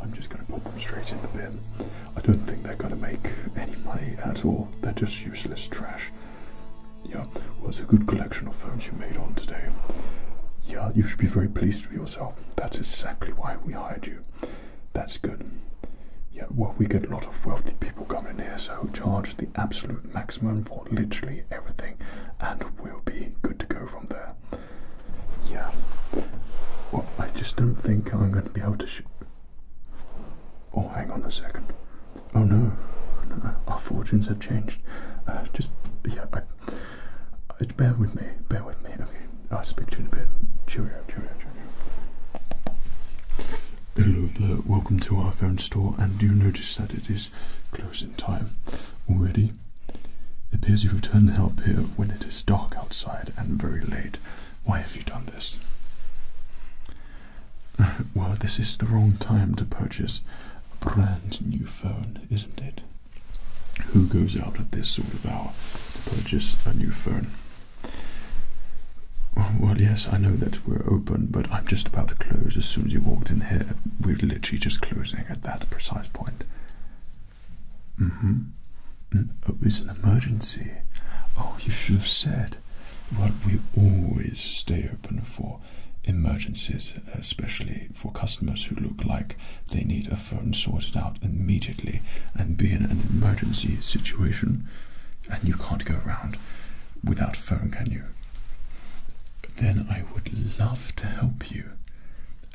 I'm just going to put them straight in the bin. I don't think they're going to make any money at all. They're just useless trash. Yeah, well, a good collection of phones you made on today. Yeah, you should be very pleased with yourself. That's exactly why we hired you. That's good. Yeah, well, we get a lot of wealthy people coming in here, so charge the absolute maximum for literally everything, and we'll be good to go from there yeah. Well, I just don't think I'm going to be able to shoot. Oh, hang on a second. Oh no, our fortunes have changed. Uh, just, yeah, I, uh, bear with me, bear with me. Okay, I'll speak to you in a bit. Cheerio, cheerio, cheerio. Hello there, welcome to our phone store. And do you notice that it is closing time already? It Appears you have turned up here when it is dark outside and very late. Why have you done this? well, this is the wrong time to purchase a brand new phone, isn't it? Who goes out at this sort of hour to purchase a new phone? Well, yes, I know that we're open, but I'm just about to close as soon as you walked in here. We're literally just closing at that precise point. Mm-hmm. Oh, mm, it's an emergency. Oh, you should have said. Well, we always stay open for emergencies, especially for customers who look like they need a phone sorted out immediately and be in an emergency situation. And you can't go around without phone, can you? Then I would love to help you.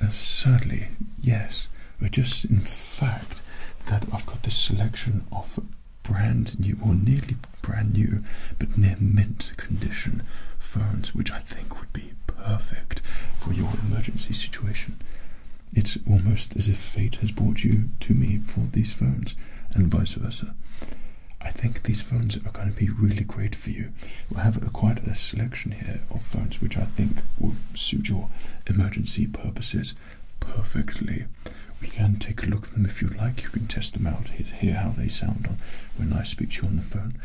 Uh, sadly, yes. But just in fact that I've got this selection of brand new or nearly brand new but near mint condition phones which I think would be perfect for your emergency situation. It's almost as if fate has brought you to me for these phones and vice versa. I think these phones are going to be really great for you. We'll have quite a selection here of phones which I think will suit your emergency purposes perfectly. We can take a look at them if you'd like. You can test them out, hear how they sound on when I speak to you on the phone.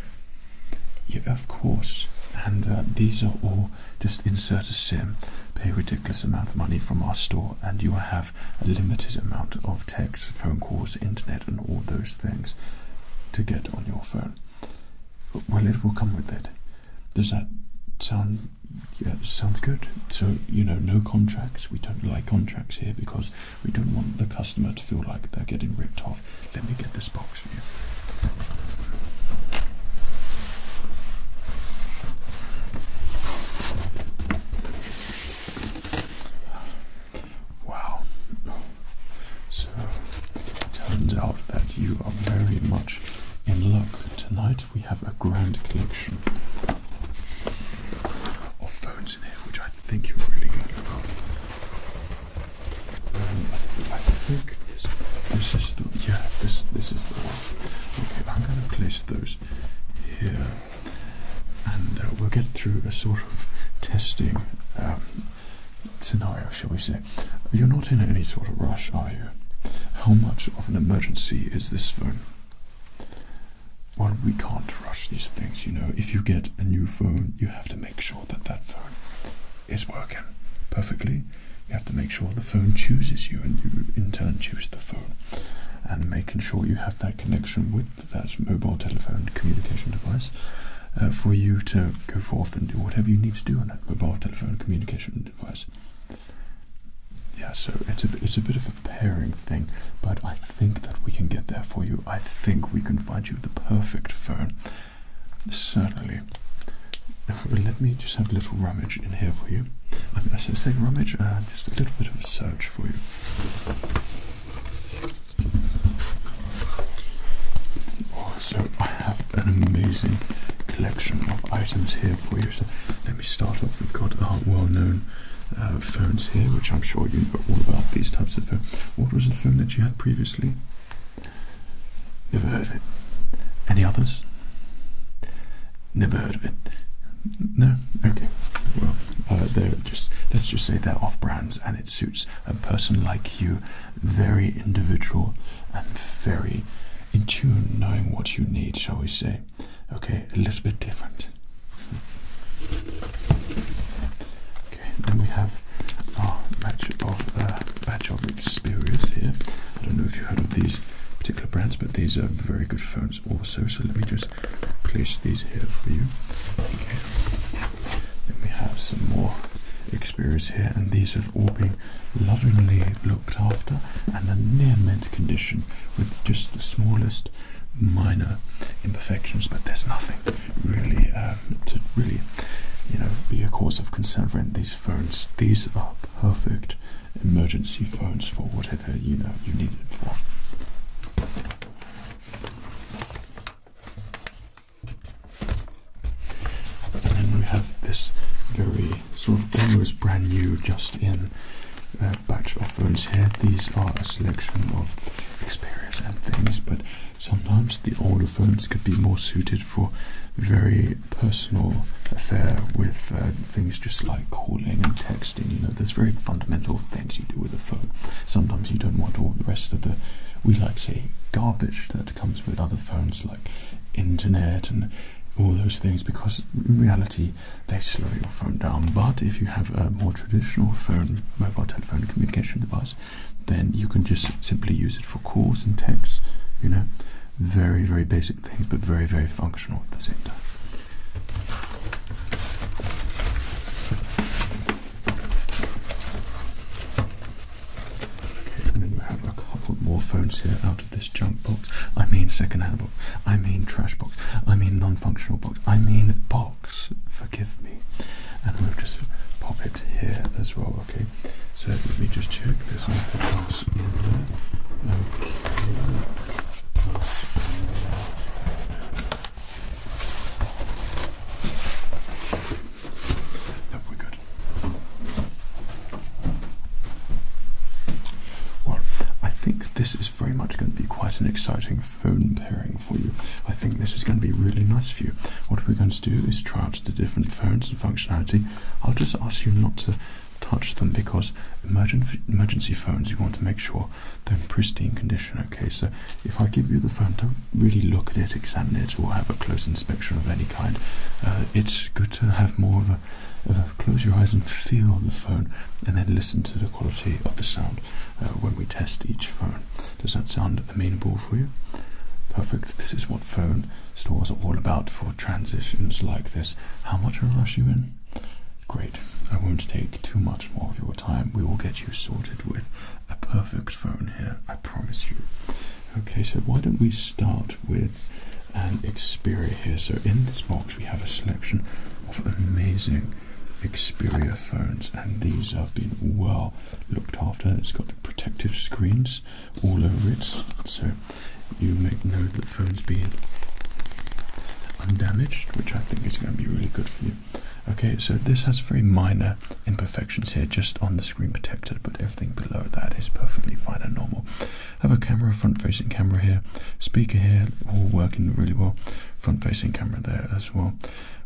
Yeah, of course. And uh, these are all just insert a SIM, pay a ridiculous amount of money from our store, and you will have a limited amount of text, phone calls, internet, and all those things to get on your phone. Well, it will come with it. Does that sound? Yeah, sounds good. So you know, no contracts. We don't like contracts here because we don't want the customer to feel like they're getting ripped off. Let me get this box for you. Wow. So it turns out that you are very much in luck. Tonight we have a grand collection of phones in here, which I think you're really going to love. Um, I, think this, is the yeah this this is the one. Okay, I'm going to place those here, and uh, we'll get through a sort of testing um, scenario, shall we say. You're not in any sort of rush, are you? How much of an emergency is this phone? Well, we can't rush these things, you know. If you get a new phone, you have to make sure that that phone is working perfectly. You have to make sure the phone chooses you and you in turn choose the phone. And making sure you have that connection with that mobile telephone communication device uh, for you to go forth and do whatever you need to do on that mobile telephone communication device. Yeah, so it's a it's a bit of a pairing thing, but I think that we can get there for you. I think we can find you the perfect phone. Certainly. Uh, let me just have a little rummage in here for you. I mean, I say rummage, uh, just a little bit of a search for you. Oh, so I have an amazing collection of items here for you. So let me start off. We've got our well-known uh, phones here, which I'm sure you know all about these types of phones. What was the phone that you had previously? Never heard of it. Any others? Never heard of it. No. Okay. Well, uh, they're just let's just say they're off brands, and it suits a person like you very individual and very in tune, knowing what you need, shall we say. Okay, a little bit different. Okay, then we have our batch of uh, of Xperia's here. I don't know if you heard of these particular brands, but these are very good phones also. So let me just place these here for you. Then we have some more Xperia's here, and these are all being lovingly looked after and a near mint condition with just the smallest minor imperfections, but there's nothing really um, to really, you know, be a cause of concern for these phones. These are perfect emergency phones for whatever you know you need it for. And then we have this very sort of almost brand new, just in uh, batch of phones here. These are a selection of experience and things, but sometimes the older phones could be more suited for very personal affair with uh, things just like calling and texting. You know, those very fundamental things you do with a phone. Sometimes you don't want all the rest of the, we like say, garbage that comes with other phones like internet and all those things because in reality they slow your phone down. But if you have a more traditional phone, mobile telephone communication device, then you can just simply use it for calls and texts, you know. Very, very basic things, but very, very functional at the same time. And then we have a couple more phones here out of this junk box. I mean second-hand box. I mean trash box. I mean non-functional box. I mean box. Forgive me. And we'll just pop it here as well. Okay. So let me just check. this nothing Okay. Have we Well, I think this is very much going to be quite an exciting phone pairing for you. I think this is going to be really nice for you. What we're going to do is try out the different phones and functionality. I'll just ask you not to touch them because emergency emergency phones you want to make sure they're in pristine condition okay so if I give you the phone don't really look at it examine it or have a close inspection of any kind. Uh, it's good to have more of a, close your eyes and feel the phone and then listen to the quality of the sound uh, when we test each phone. Does that sound amenable for you? Perfect. This is what phone stores are all about for transitions like this. How much will rush you in? Great. I won't take too much more of your time. We will get you sorted with a perfect phone here, I promise you. Okay, so why don't we start with an Xperia here? So in this box we have a selection of amazing Xperia phones, and these have been well looked after. It's got the protective screens all over it, so you make note that the phone's been undamaged, which I think is going to be really good for you. Okay, so this has very minor imperfections here, just on the screen protector, but everything below that is perfectly fine and normal. Have a camera, front facing camera here, speaker here, all working really well. Front facing camera there as well.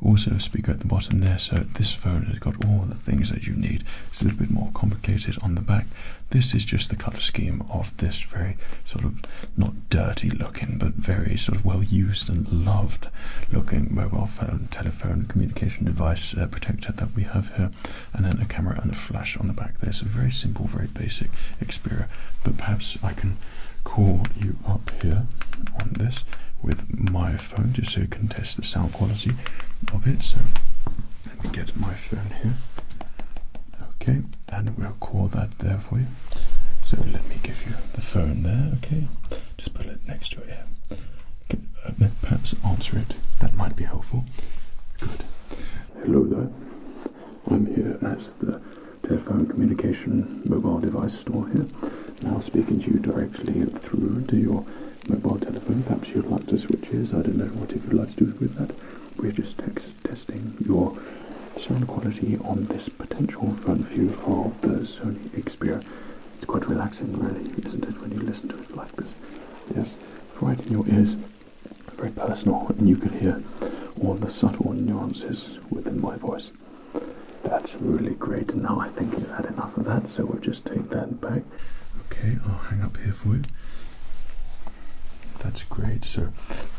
Also, a speaker at the bottom there. So, this phone has got all the things that you need. It's a little bit more complicated on the back. This is just the color scheme of this very sort of not dirty looking, but very sort of well used and loved looking mobile phone telephone communication device uh, protector that we have here, and then a camera and a flash on the back there. So very simple, very basic Xperia. But perhaps I can call you up here on this with my phone just so you can test the sound quality of it. So let me get my phone here. Okay, and we'll call that there for you. So let me give you the phone there, okay? Just put it next to your uh, perhaps answer it. That might be helpful. Good. Hello there. I'm here at the telephone communication mobile device store here. Now speaking to you directly through to your mobile telephone. Perhaps you'd like to switch ears. I don't know what you'd like to do with that. We're just text testing your sound quality on this potential front view for the Sony Xperia it's quite relaxing, really, isn't it, when you listen to it like this? Yes, right in your ears, very personal, and you can hear all the subtle nuances within my voice. That's really great, now I think you've had enough of that, so we'll just take that back. Okay, I'll hang up here for you. That's great, so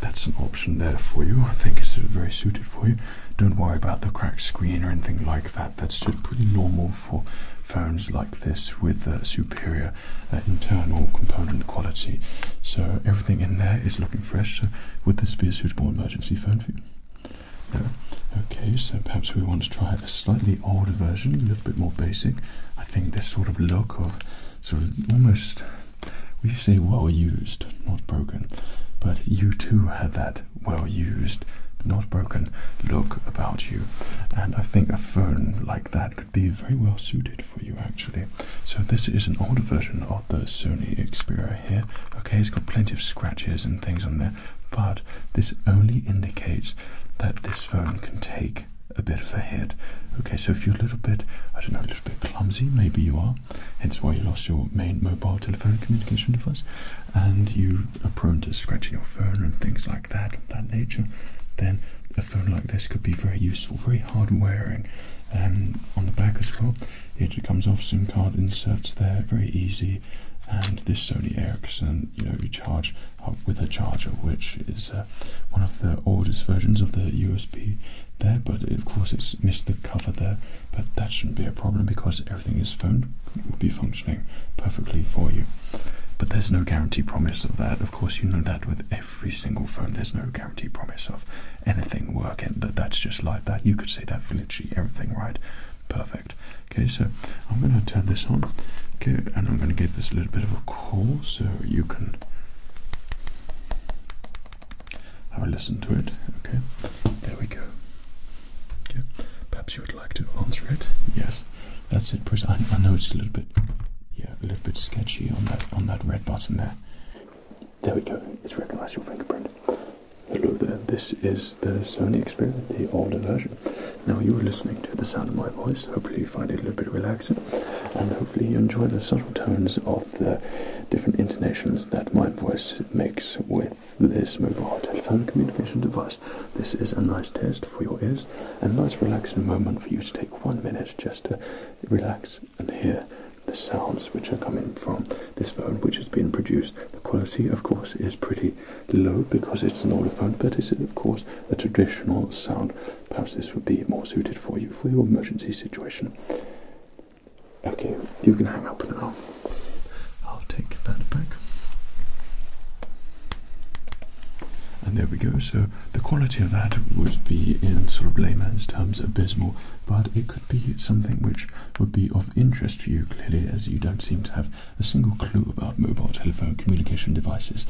that's an option there for you. I think it's very suited for you. Don't worry about the cracked screen or anything like that. That's just pretty normal for phones like this with superior uh, internal component quality. So everything in there is looking fresh. So would this be a suitable emergency phone for you? Okay, so perhaps we want to try a slightly older version, a little bit more basic. I think this sort of look of sort of almost we say well used, not broken, but you too had that well used, not broken look about you. And I think a phone like that could be very well suited for you actually. So this is an older version of the Sony Xperia here. Okay, it's got plenty of scratches and things on there, but this only indicates that this phone can take a bit of a hit. Okay, so if you're a little bit, I don't know, a little bit clumsy, maybe you are, hence why you lost your main mobile telephonic communication device, and you are prone to scratching your phone and things like that of that nature, then a phone like this could be very useful, very hard wearing. Um, on the back as well, it comes off SIM card inserts there, very easy. And this Sony Ericsson, you know, you charge with a charger, which is uh, one of the oldest versions of the USB there. But of course, it's missed the cover there, but that shouldn't be a problem because everything is phoned, will be fine perfectly for you. But there's no guarantee promise of that. Of course, you know that with every single phone, there's no guarantee promise of anything working. But that's just like that. You could say that for literally everything, right? Perfect. Okay, so I'm going to turn this on. Okay, and I'm going to give this a little bit of a call so you can have a listen to it. Okay, there we go. Perhaps you would like to answer it. Yes, that's it. I, I know it's a little bit, yeah, a little bit sketchy on that on that red button there. There we go. It's recognised your fingerprint. Hello there. This is the Sony Xperia, the older version. Now you are listening to the sound of my voice. Hopefully you find it a little bit relaxing, and hopefully you enjoy the subtle tones of the different intonations that my voice makes with this mobile telephone communication device. This is a nice test for your ears a nice relaxing moment for you to take one minute just to relax and hear the sounds which are coming from this phone which has been produced. The quality of course is pretty low because it's an old phone but it's of course a traditional sound. Perhaps this would be more suited for you for your emergency situation. Okay, you can hang up now. I'll take that back. And there we go. So the quality of that would be, in sort of layman's terms, abysmal, but it could be something which would be of interest to you clearly, as you don't seem to have a single clue about mobile telephone communication devices.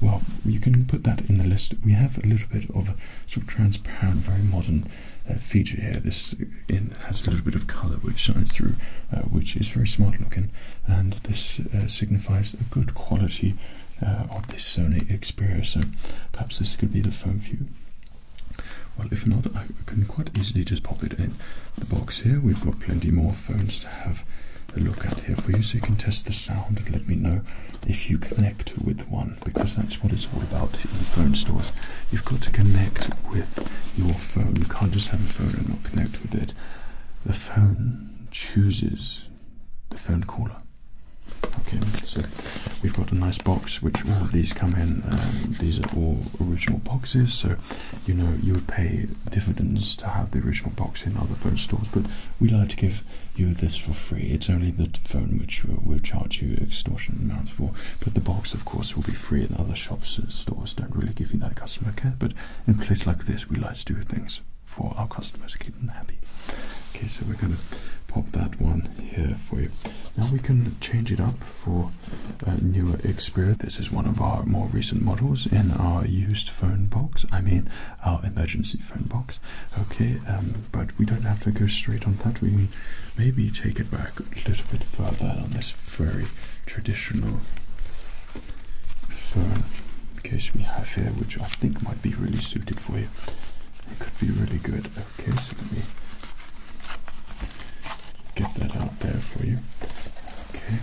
Well, you can put that in the list. We have a little bit of sort of transparent, very modern uh, feature here. This uh, in and has a little bit of colour which shines through, uh, which is very smart looking, and this uh, signifies a good quality uh, of this Sony Xperia. So perhaps this could be the phone for you. Well, if not, I can quite easily just pop it in the box here. We've got plenty more phones to have a look at here for you, so you can test the sound and let me know if you connect with one, because that's what it's all about in phone stores. You've got to connect with your phone. You can't just have a phone and not connect with it. The phone chooses the phone caller. Okay, so we've got a nice box which all of these come in. Um, these are all original boxes, so you know you would pay dividends to have the original box in other phone stores, but we like to give you this for free. It's only the phone which will, will charge you extortion amounts for, but the box of course, will be free in other shops and stores. Don't really give you that customer care, but in a place like this, we like to do things for our customers, keep them happy. Okay, so we're going to pop that one here for you. Now we can change it up for a newer Xperia. This is one of our more recent models in our used phone box. I mean, our emergency phone box. Okay, um, but we don't have to go straight on that. We maybe take it back back a little bit further on this very traditional fern case we have here, which I think might be really suited for you. It could be really good. Okay, so let me get that out there for you. Okay.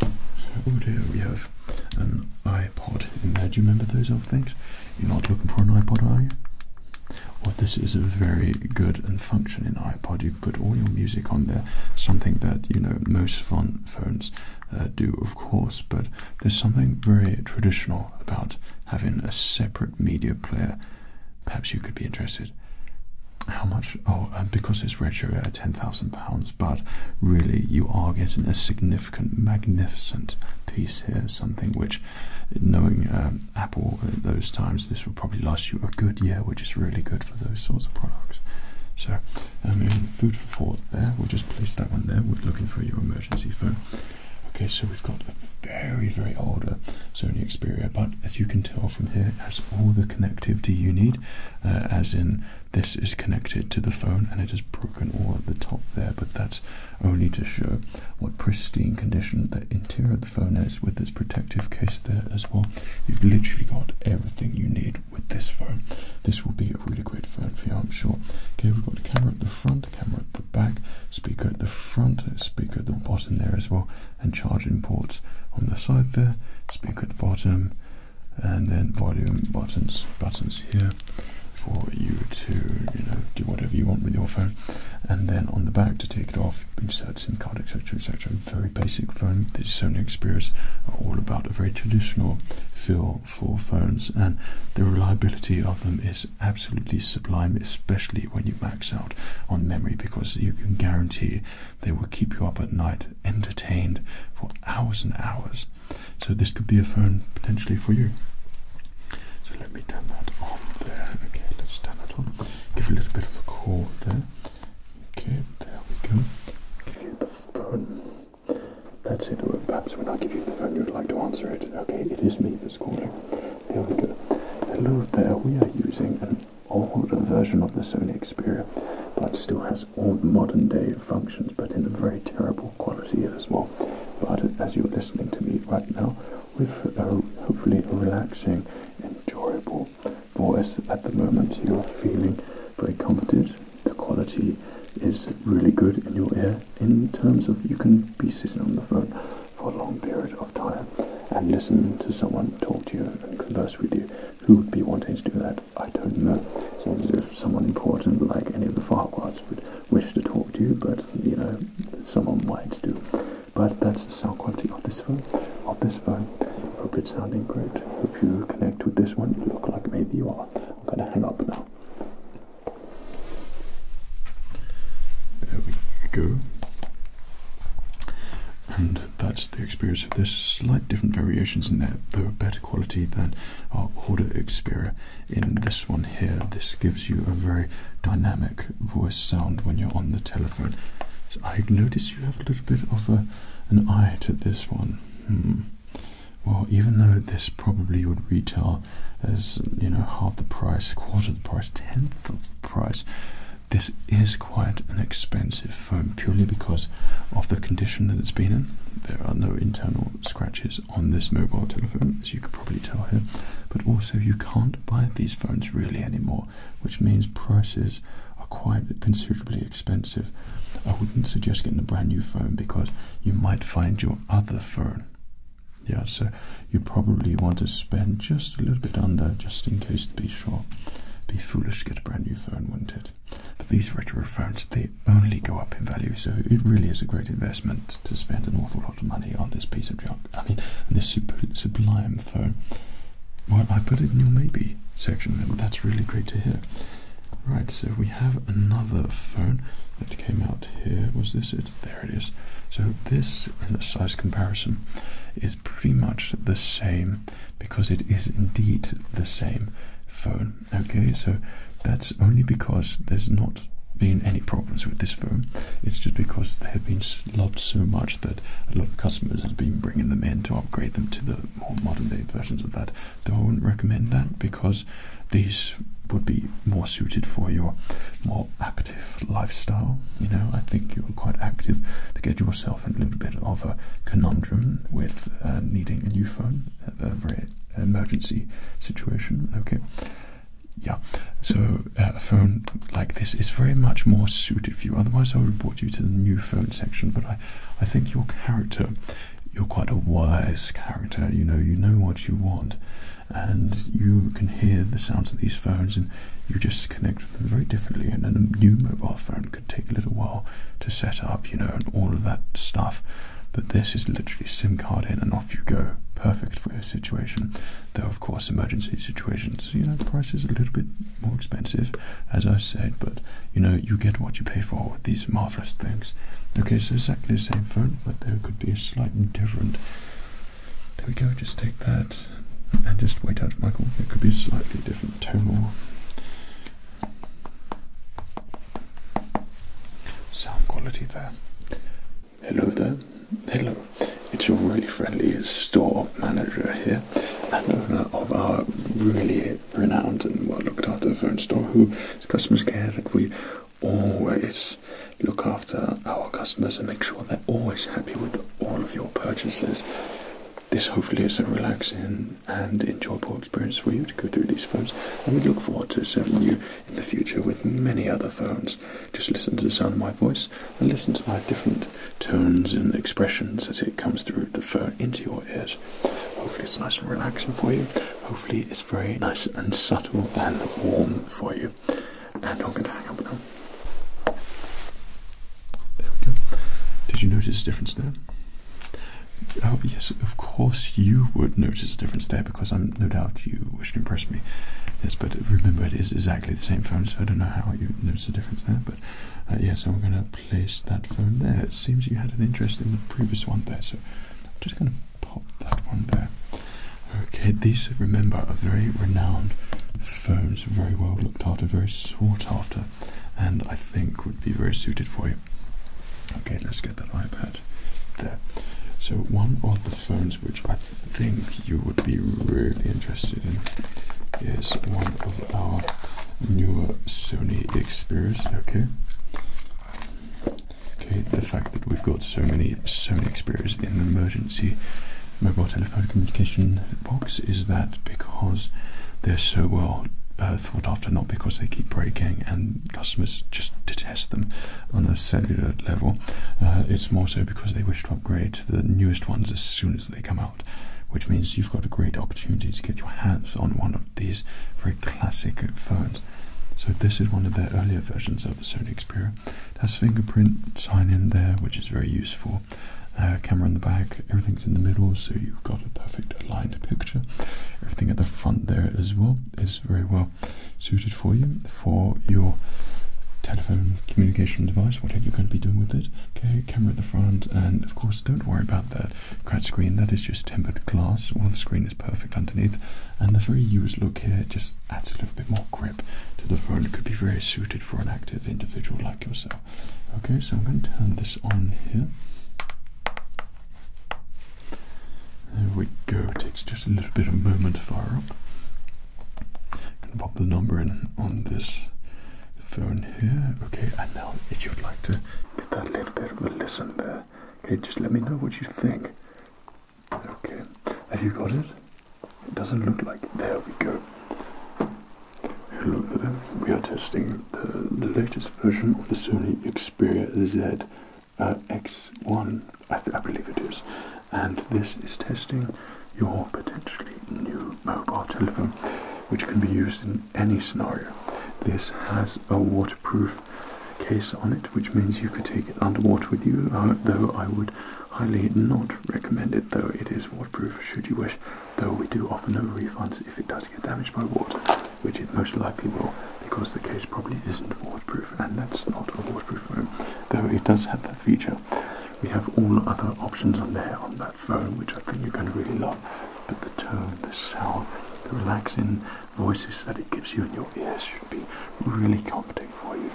So, oh dear, we have an iPod in there. Do you remember those old things? You're not looking for an iPod, are you? Well, this is a very good and functioning iPod put all your music on there, something that you know most phones uh, do, of course. But there's something very traditional about having a separate media player. Perhaps you could be interested. How much? Oh, uh, because it's ratio ten thousand pounds, but really you are getting a significant, magnificent piece here. Something which, knowing um, Apple at uh, those times. This will probably last you a good year, which is really good for those sorts of products. So, um, I mean, food for thought there. We'll just place that one there. We're looking for your emergency phone. Okay, so we've got a very, very older uh, Sony Xperia, but as you can tell from here, it has all the connectivity you need, uh, as in this is connected to the phone and it is broken all at the top there, but that's only to show what pristine condition the interior of the phone is with its protective case there as well. You've literally got everything you need with this phone. This will be a really great phone for you, I'm sure. Okay, we've got the camera at the front, camera at the back, speaker at the front, speaker at the bottom there as well, and charging ports on the side there, speaker at the bottom, and then volume buttons, buttons here for you to, you know, do whatever you want with your phone. And then on the back to take it off of inserts in card, etc., etc. Very basic phone. The Sony Xperias are all about a very traditional feel for phones, and the reliability of them is absolutely sublime, especially when you max out on memory, because you can guarantee they will keep you up at night entertained for hours and hours. So this could be a phone potentially for you. So let me turn that on there. Okay, let's turn that on give a little bit of a call there. Okay, there we go. Okay, the phone. That's it. perhaps when I give you the phone, you'd like to answer it. Okay, it is me that's calling. There we go. Hello there. We are using an older version of the Sony Xperia, but still has all modern day functions, but in a very terrible quality as well. But as you're listening to me right now, with uh, hopefully a relaxing, enjoyable voice at the moment. You are feeling very comforted. The quality is really good in your ear in terms of you can be sitting on the phone for a long period of time and listen to someone talk to you and converse with you. Who would be wanting to do that? I don't know. So if someone important like any of the Farquhards would wish to talk to you, but you know, someone might do. But that's the sound quality of this phone. Of this phone. Hope it's sounding great. Hope you connect with this one. You look like maybe you are. I'm gonna hang up now. There we go. And that's the experience There's Slight different variations in there, though better quality than our older Xperia. In this one here, this gives you a very dynamic voice sound when you're on the telephone. I notice you have a little bit of an eye to this one. Hmm. Well, even though this probably would retail as you know half the price, quarter of the price, tenth of the price, this is quite an expensive phone purely because of the condition that it's been in. There are no internal scratches on this mobile telephone, as you could probably tell here. But also, you can't buy these phones really anymore which means prices are quite considerably expensive. I wouldn't suggest getting a brand new phone because you might find your other phone. Yeah, so you probably want to spend just a little bit under just in case to be sure. Be foolish to get a brand new phone, wouldn't it? But these retro phones, they only go up in value, so it really is a great investment to spend an awful lot of money on this piece of junk. I mean, this sublime Phone. Well, I put it in your maybe section, and that's really great to hear. Right, so we have another phone that came out here. Was this it? There it is. So, this in a size comparison is pretty much the same because it is indeed the same phone. Okay, so that's only because there's not been any problems with this phone, it's just because there have been loved so much that a lot of customers have been bringing them in to upgrade them to the more modern day versions of that. Though I wouldn't recommend that because these would be more suited for your more active lifestyle. You know, I think you're quite active to get yourself in a little bit of a conundrum with uh, needing a new phone, a very emergency situation. Okay. Yeah, so a phone like this is very much more suited for you. Otherwise, I would have brought you to the new phone section. But I, I think your character, you're quite a wise character. You know, you know what you want, and you can hear the sounds of these phones, and you just connect very differently. and a new mobile phone could take a little while to set up, you know, and all of that stuff. But this is literally SIM card in, and off you go. Perfect for your situation. Though, of course, emergency situations, you know, the price is a little bit more expensive, as I said, but you know, you get what you pay for with these marvelous things. Okay, so exactly the same phone, but there could be a slight different. There we go, just take that and just wait out, Michael. It could be a slightly different tone or sound quality there. Hello there. Hello, it's your really friendly store manager here and owner of our really renowned and well looked after phone store whose customers care that we always look after our customers and make sure they're always happy with all of your purchases. This hopefully is a relaxing and enjoyable experience for you to go through these phones, and we look forward to serving you in the future with many other phones. Just listen to the sound of my voice and listen to my different tones and expressions as it comes through the phone into your ears. Hopefully, it's nice and relaxing for you. Hopefully, it's very nice and subtle and warm for you. And I'm going to hang up now. There we go. Did you notice a difference there? Oh, yes, of course you would notice a difference there because I'm no doubt you wish to impress me. Yes, but remember it is exactly the same phone, so I don't know how you notice difference but uh, yeah, so I'm going to place that phone there. It seems you had an interest in the previous one there, so I'm just going to pop that one there. Okay, these, remember, are very renowned phones, very well looked after, very sought after, and I think would be very suited for you. Okay, let's get that iPad there. So one of the phones which I think you would be really interested in is one of our newer Sony Xperias. Okay. Okay, the fact that we've got so many Sony Xperias in the emergency mobile telephone communication box is that because they're so well uh, thought after, not because they keep breaking and customers just detest them on a cellular level. Uh, it's more so because they wish to upgrade to the newest ones as soon as they come out, which means you've got a great opportunity to get your hands on one of these very classic phones. So this is one of their earlier versions of the Sony Xperia. It has fingerprint sign in there, which is very useful. Uh, camera in the back, everything's in the middle, so you've got a perfect aligned picture. Everything at the front there as well is very well suited for you for your telephone communication device, whatever you're going to be doing with it. Okay, camera at the front, and of course, don't worry about that cracked screen. That is just tempered glass. All the screen is perfect underneath, and the very used look here just adds a little bit more grip to the phone. It could be very suited for an active individual like yourself. Okay, so I'm going to turn this on here. There we go. It takes just a little bit of moment to fire up and pop the number in on this phone here. Okay, and now if you'd like to give that little bit of a listen there, okay, just let me know what you think. Okay, have you got it? It doesn't look like There we go. Hello there. We are testing the, latest version of the Sony Xperia Z uh, X1. I, I believe it is and this is testing your potentially new mobile telephone, which can be used in any scenario. This has a waterproof case on it, which means you could take it underwater with you, though I would highly not recommend it, though it is waterproof should you wish, though we do offer no refunds if it does get damaged by water, which it most likely will, because the case probably isn't waterproof, and that's not a waterproof phone, though it does have that feature we have all other options on there on that phone, which I think you're going to really love. But the tone, the sound, the relaxing voices that it gives you in your ears should be really comforting for you,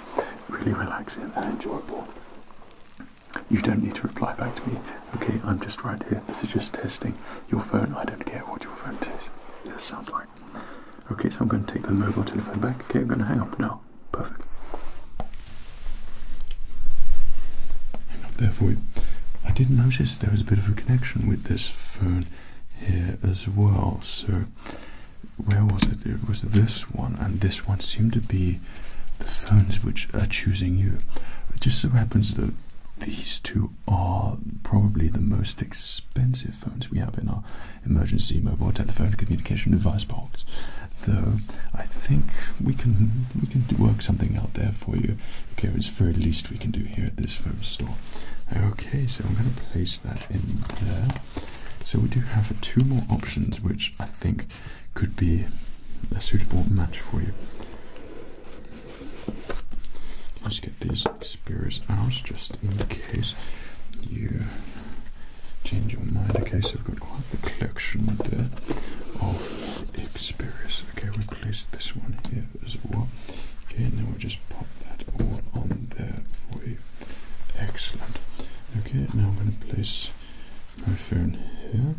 really relaxing and enjoyable. You don't need to reply back to me. Okay, I'm just right here. This is just testing your phone. I don't care what your phone is. This sounds like. Okay, so I'm going to take the mobile telephone back. Okay, I'm going to hang up now. Perfect. Therefore, I did not notice there was a bit of a connection with this phone here as well. So, where was it? It was this one, and this one seemed to be the phones which are choosing you. It just so happens that these two are probably the most expensive phones we have in our emergency mobile telephone communication device box though I think we can we can work something out there for you. Okay, it's the very least we can do here at this firm store. Okay, so I'm going to place that in there. So we do have two more options, which I think could be a suitable match for you. Let's get these like, spears out just in case you change your mind. Okay, so we've got quite the collection there of the Xperia. Okay, we place this one here as well. Okay, now we'll just pop that all on there for you. Excellent. Okay, now I'm going to place my phone here.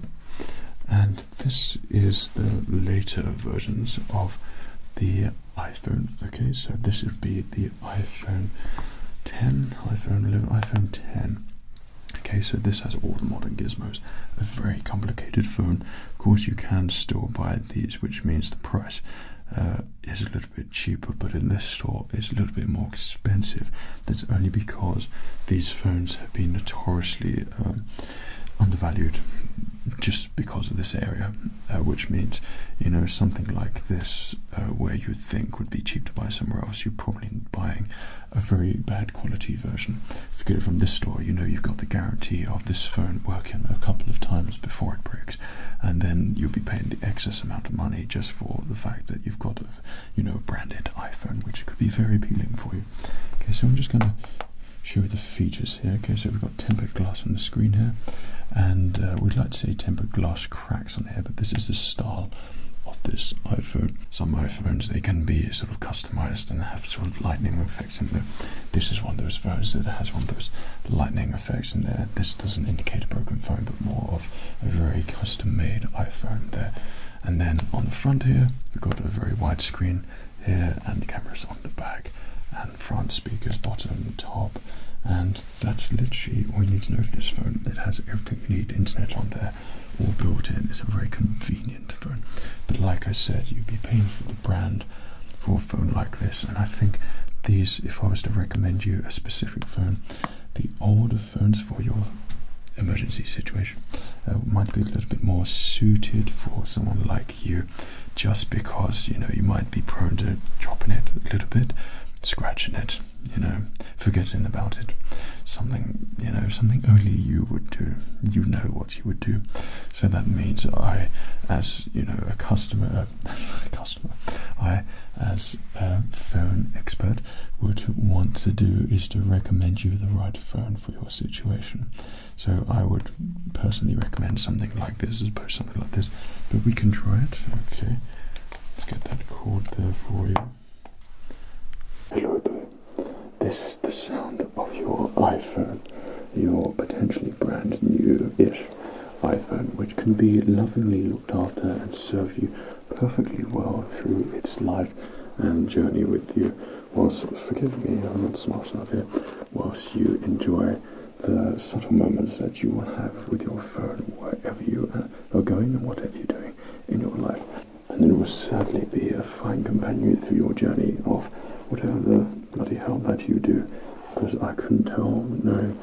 And this is the later versions of the iPhone. Okay, so this would be the iPhone 10, iPhone 11, iPhone 10. Okay, so this has all the modern gizmos. A very complicated phone. Of course, you can still buy these, which means the price uh, is a little bit cheaper, but in this store, it's a little bit more expensive. That's only because these phones have been notoriously um, undervalued just because of this area, uh, which means, you know, something like this, uh, where you think would be cheap to buy somewhere else, you're probably buying a very bad quality version. If you get it from this store, you know you've got the guarantee of this phone working a couple of times before it breaks, and then you'll be paying the excess amount of money just for the fact that you've got a, you know, branded iPhone, which could be very appealing for you. Okay, so I'm just going to show you the features here. Okay, so we've got tempered glass on the screen here, and uh, we'd like to see tempered glass cracks on here, but this is the style of this iPhone. Some iPhones they can be sort of customized and have sort of lightning effects in there. This is one of those phones that has one of those lightning effects in there. This doesn't indicate a broken phone, but more of a very custom-made iPhone there. And then on the front here, we've got a very wide screen here, and the cameras on the back, and front speakers bottom top. And that's literally all you need to know of this phone. That has everything you need, internet on there there all built in. is a very convenient phone. But like I said, you'd be paying for the brand for a phone like this. And I think these, if I was to recommend you a specific phone, the older phones for your emergency situation uh, might be a little bit more suited for someone like you just because you know you might be prone to dropping it a little bit scratching it you know, forgetting about it. Something, you know, something only you would do. You know what you would do. So that means I, as, you know, a customer, a customer, I, as a phone expert, would want to do is to recommend you the right phone for your situation. So I would personally recommend something like this as opposed something like this. But we can try it. Okay. Let's get that cord there for you. Hello, this is the sound of your iPhone, your potentially brand new-ish iPhone, which can be lovingly looked after and serve you perfectly well through its life and journey with you. Whilst, forgive me, I'm not smart enough here, whilst you enjoy the subtle moments that you will have with your phone wherever you are going and whatever you are doing in your life. And it will certainly be a fine companion through your journey of whatever the bloody hell that you do. Because I couldn't tell, now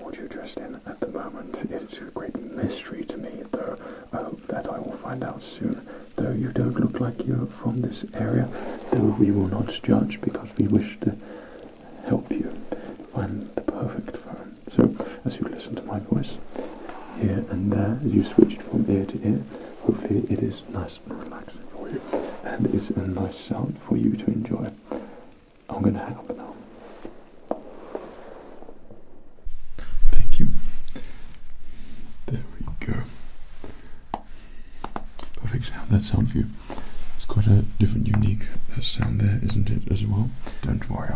what you're dressed in at the moment. It's a great mystery to me, though I hope that I will find out soon. Though you don't look like you're from this area, though we will not judge because we wish to help you find the perfect so, as you listen to my voice here and there, as you switch it from ear to ear, hopefully it is nice and relaxing for you and it's a nice sound for you to enjoy. I'm going to hang up now. Thank you. There we go. Perfect. How that sound for you? It's quite a different, unique sound there, isn't it? As well. Don't worry,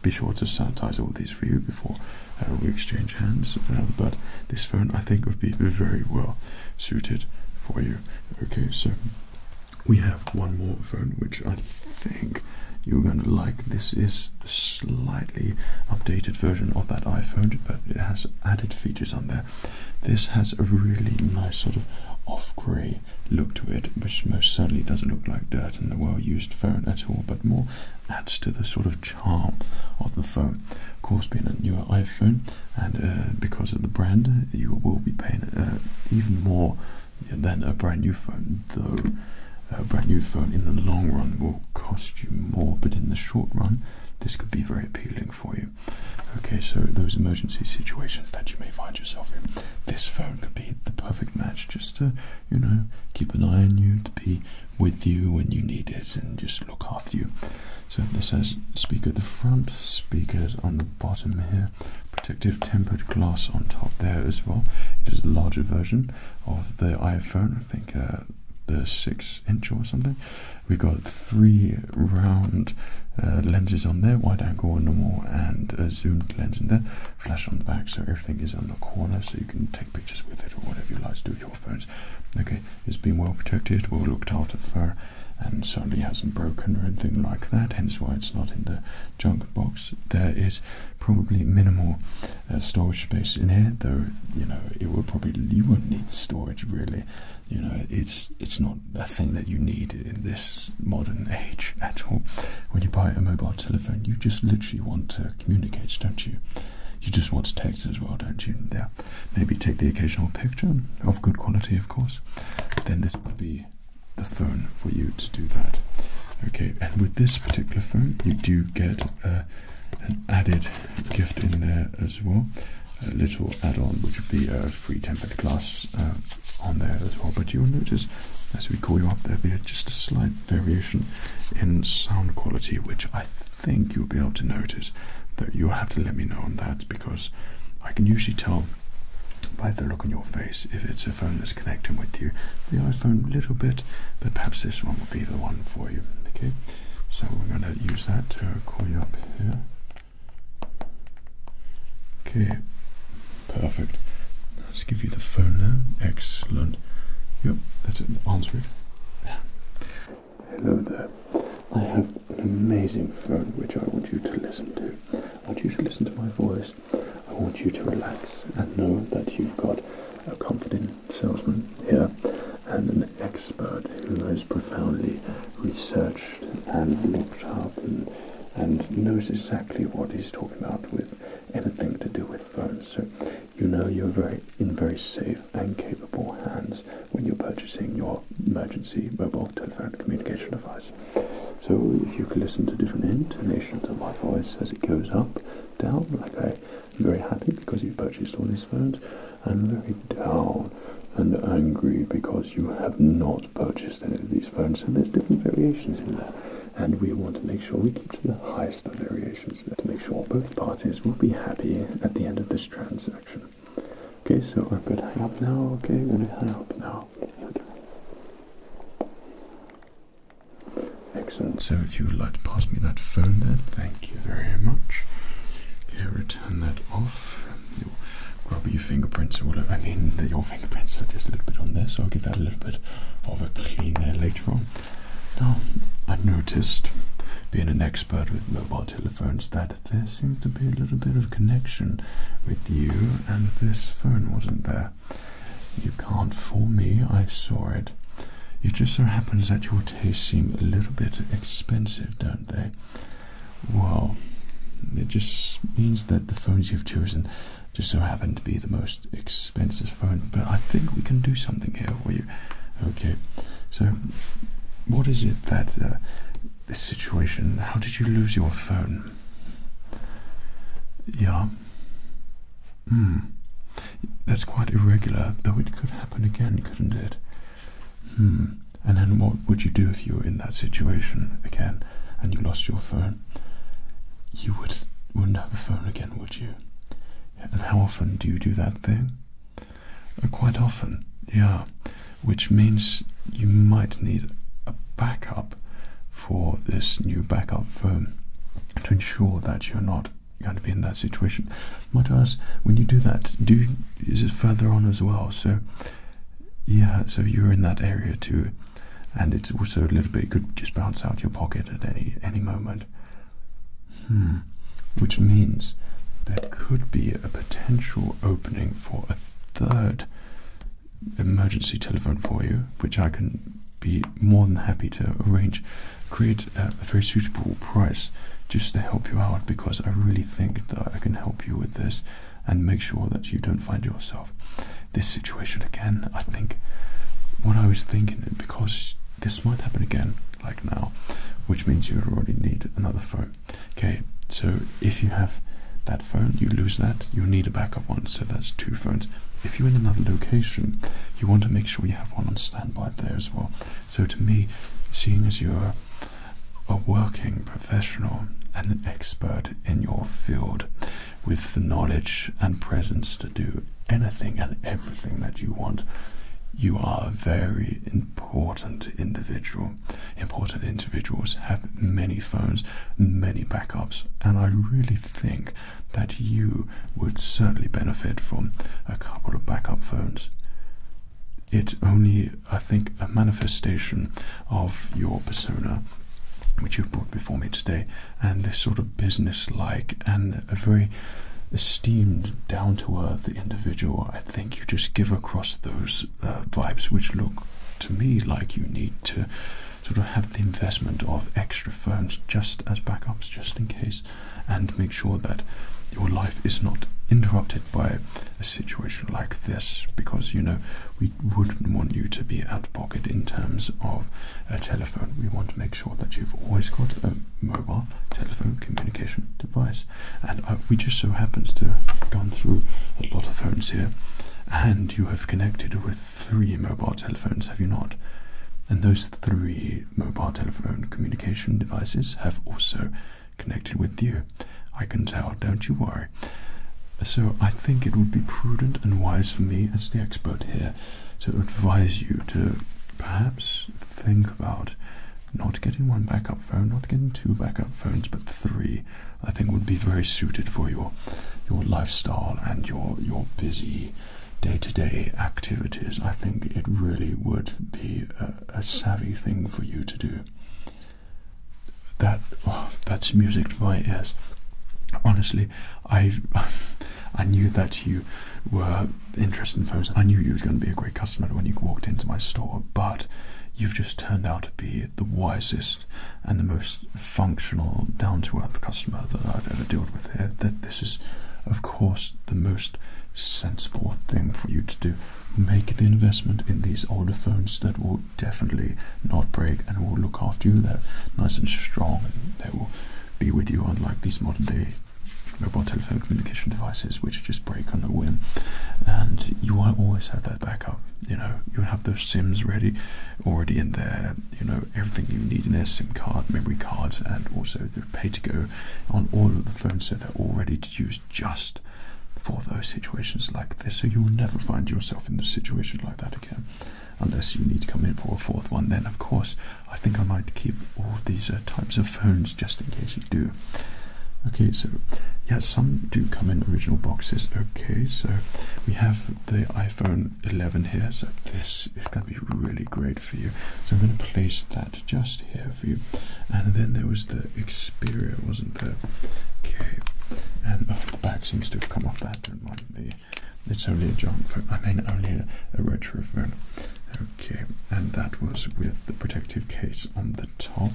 be sure to sanitize all these for you before uh, we exchange hands. Um, but this phone, I think, would be very well suited for you. Okay, so we have one more phone which I think you're going to like. This is the slightly updated version of that iPhone, but it has added features on there. This has a really nice sort of off grey look to it, which most certainly doesn't look like dirt in the well-used phone at all, but more adds to the sort of charm of the phone. Of course, being a newer iPhone, and uh, because of the brand, you will be paying uh, even more than a brand new phone, though a brand new phone in the long run will cost you more, but in the short run, this could be very appealing for you. Okay, so those emergency situations that you may find yourself in, this phone could be the perfect match just to you know, keep an eye on you, to be with you when you need it, and just look after you. So this has speaker at the front, speakers on the bottom here, protective tempered glass on top there as well. It is a larger version of the iPhone, I think uh, the 6 inch or something. We've got three round uh, lenses on there, wide angle, normal, and a uh, zoomed lens in there flash on the back so everything is on the corner so you can take pictures with it or whatever you like to do with your phones. Okay, it's been well protected, well looked after for and certainly hasn't broken or anything like that, hence why it's not in the junk box. There is probably minimal uh, storage space in here, though, you know, it would probably, you would not need storage really. You know, it's, it's not a thing that you need in this modern age at all. When you buy a mobile telephone, you just literally want to communicate, don't you? You just want to text as well, don't you? Yeah. Maybe take the occasional picture of good quality, of course. Then this would be the phone for you to do that. Okay, and with this particular phone, you do get uh, an added gift in there as well. A little add-on, which would be a free tempered glass uh, on there as well. But you'll notice as we call you up, there'll be just a slight variation in sound quality, which I think you'll be able to notice. That you'll have to let me know on that because I can usually tell by the look on your face if it's a phone that's connecting with you. The iPhone a little bit, but perhaps this one will be the one for you. Okay, so we're going to use that to call you up here. Okay, Perfect. Let's give you the phone now. Excellent. Yep, that's it. Answer it. Hello there. I have an amazing phone which I want you to listen to. I want you to listen to my voice. I want you to relax and know that you've got a confident salesman here and an expert who has profoundly researched and looked up and knows exactly what he's talking about with anything to do with phones. So you know you're very in very safe and capable hands when you're purchasing your emergency mobile telephone communication device. So if you could listen to different intonations of my voice as it goes up, down, like I, am very happy because you purchased all these phones. and very down and angry because you have not purchased any of these phones. So there's different variations in there and we want to make sure we keep to the highest of variations there to make sure both parties will be happy at the end of this transaction. Okay, so I'm going hang up now. Okay, I'm going to hang up now. Excellent. So if you would like to pass me that phone there, thank you very much. Okay, return that off. You'll grab your fingerprints or whatever. I mean, your fingerprints just a little bit on this. I'll give that a little bit of a clean there later on. Now, I noticed, being an expert with mobile telephones, that there seemed to be a little bit of connection with you and this phone wasn't there. You can't fool me, I saw it. It just so happens that your tastes seem a little bit expensive, don't they? Well, it just means that the phones you've chosen just so happened to be the most expensive phone. But I think we can do something here for you. Okay, so what is it that uh, this situation? How did you lose your phone? Yeah. Hmm. That's quite irregular, though it could happen again, couldn't it? Hmm. And then what would you do if you were in that situation again? and you lost your phone, you would, wouldn't have a phone again, would you? And how often do you do that thing? Uh, quite often, yeah. Which means you might need a backup for this new backup phone to ensure that you're not going to be in that situation. Might I ask, when you do that, do is it further on as well? So, yeah, so you're in that area too and it's also a little bit it could just bounce out your pocket at any any moment. Hmm. Which means that could be a potential opening for a third emergency telephone for you, which I can be more than happy to arrange, create a very suitable price just to help you out because I really think that I can help you with this and make sure that you don't find yourself this situation again. I think what I was thinking, because this might happen again, like now, which means you already need another phone. Okay, so if you have that phone, you lose that, you need a backup one, so that's two phones. If you're in another location, you want to make sure you have one on standby there as well. So to me, seeing as you're a working professional and an expert in your field, with the knowledge and presence to do anything and everything that you want. You are a very important individual. Important individuals have many phones, many backups, and I really think that you would certainly benefit from a couple of backup phones. It's only, I think, a manifestation of your persona, which you've brought before me today, and this sort of business-like and a very esteemed, down-to-earth individual. I think you just give across those uh, vibes, which look to me like you need to sort of have the investment of extra funds, just as backups, just in case, and make sure that your life is not interrupted by a situation like this because you know we wouldn't want you to be out of pocket in terms of a telephone. We want to make sure that you've always got a mobile telephone communication device. And uh, we just so happens to have gone through a lot of phones here, and you have connected with three mobile telephones, have you not? And those three mobile telephone communication devices have also connected with you. I can tell, don't you worry. So I think it would be prudent and wise for me as the expert here to advise you to perhaps think about not getting one backup phone, not getting two backup phones, but three. I think would be very suited for your your lifestyle and your your busy day-to-day activities. I think it really would be a, savvy thing for you to do. That oh, that's music to my ears. Honestly, I, I knew that you were interested in phones. I knew you was going to be a great customer when you walked into my store, but you've just turned out to be the wisest and the most functional, down-to-earth customer that I've ever dealt with That this is, of course, the most sensible thing for you to do. Make the investment in these older phones that will definitely not break and will look after you. They're nice and strong and they will be with you unlike these modern day mobile telephone communication devices which just break on a whim and you won't always have that backup you know you will have those sims ready already in there you know everything you need in there sim card memory cards and also the pay to go on all of the phones so they're all ready to use just for those situations like this so you'll never find yourself in a situation like that again unless you need to come in for a fourth one, then of course I think I might keep all these uh, types of phones just in case you do. Okay, so yeah, some do come in original boxes. Okay, so we have the iPhone 11 here, so this is going to be really great for you. So I'm going to place that just here for you, and then there was the Xperia, wasn't there? Okay, and oh, the back seems to have come off that. there might be it's only a junk phone. I mean, only a, a retro phone. Okay, and that was with the protective case on the top.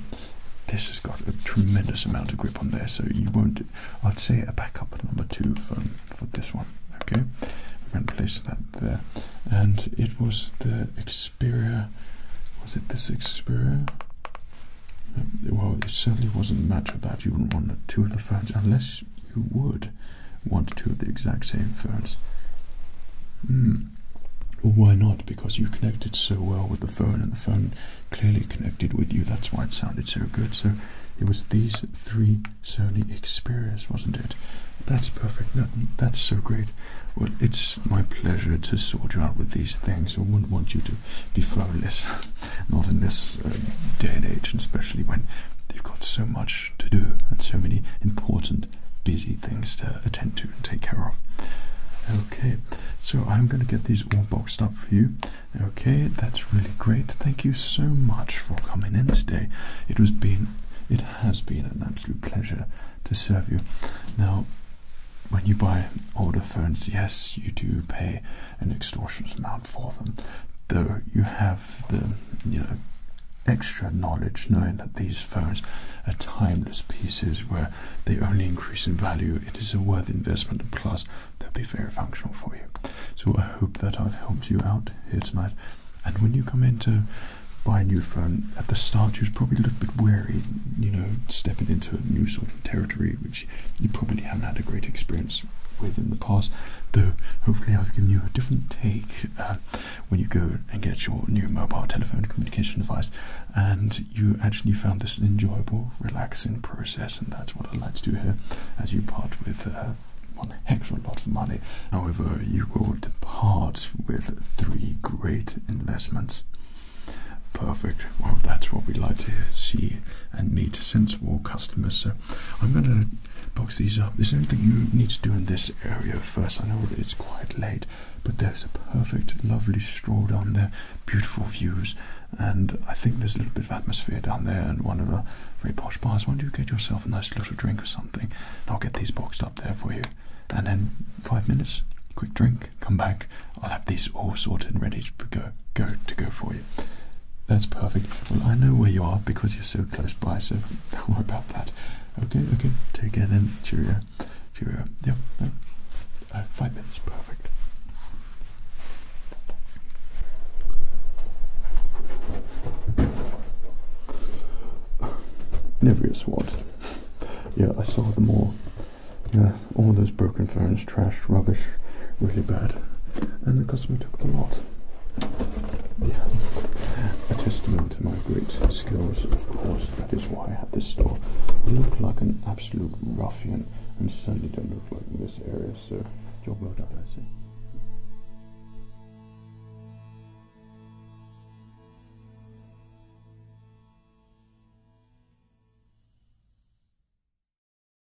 This has got a tremendous amount of grip on there, so you won't. I'd say a backup number two phone for this one. Okay, I'm going to place that there. And it was the Xperia. Was it this Xperia? Um, well, it certainly wasn't a match that. You wouldn't want two of the phones unless you would want two of the exact same phones. Mm. why not? Because you connected so well with the phone, and the phone clearly connected with you. That's why it sounded so good. So it was these three Sony Xperias, wasn't it? That's perfect. that's so great. Well, it's my pleasure to sort you out with these things. I wouldn't want you to to be frivolous, not in this uh, day and age, and especially when they have got so much to do and so many important, busy things to attend to and take care of. Okay, so I'm going to get these all boxed up for you. Okay, that's really great. Thank you so much for coming in today. It was been, it has been an absolute pleasure to serve you. Now, when you buy older phones, yes, you do pay an extortionate amount for them, though you have the you know extra knowledge knowing that these phones are timeless pieces where they only increase in value. It is a worthy investment, and plus they'll be very functional for you. So I hope that I've helped you out here tonight. And when you come in to buy a new phone, at the start you was probably a little bit wary, you know, stepping into a new sort of territory which you probably haven't had a great experience with in the past, though hopefully I've given you a different take uh, when you go and get your new mobile telephone communication device and you actually found this an enjoyable, relaxing process, and that's what I'd like to do here as you part with. Uh, one heck of a lot of money. However, you will depart with three great investments. Perfect. Well, that's what we like to see and meet sensible customers I'm going to box these up. There's anything you need to do in this area first. I know it's quite late, but there's a perfect, lovely stroll down there, beautiful views, and I think there's a little bit of atmosphere down there and one of the very posh bars. Why don't you get yourself a nice little drink or something? I'll get these boxed up there for you. And then five minutes, quick drink, come back. I'll have these all sorted and ready to go, go to go for you. That's perfect. Well, I know where you are because you're so close by, so don't worry about that. Okay, okay. Take care then. Cheerio. Cheerio. Yep. Uh, five minutes. Perfect. Never get swat. Yeah, I saw them all. Yeah, all those broken phones trash, rubbish, really bad. And the customer took the lot. Yeah. A testament to my great skills, of course, that is why I have this store. You look like an absolute ruffian and certainly don't look like this area, sir. job well done, I see.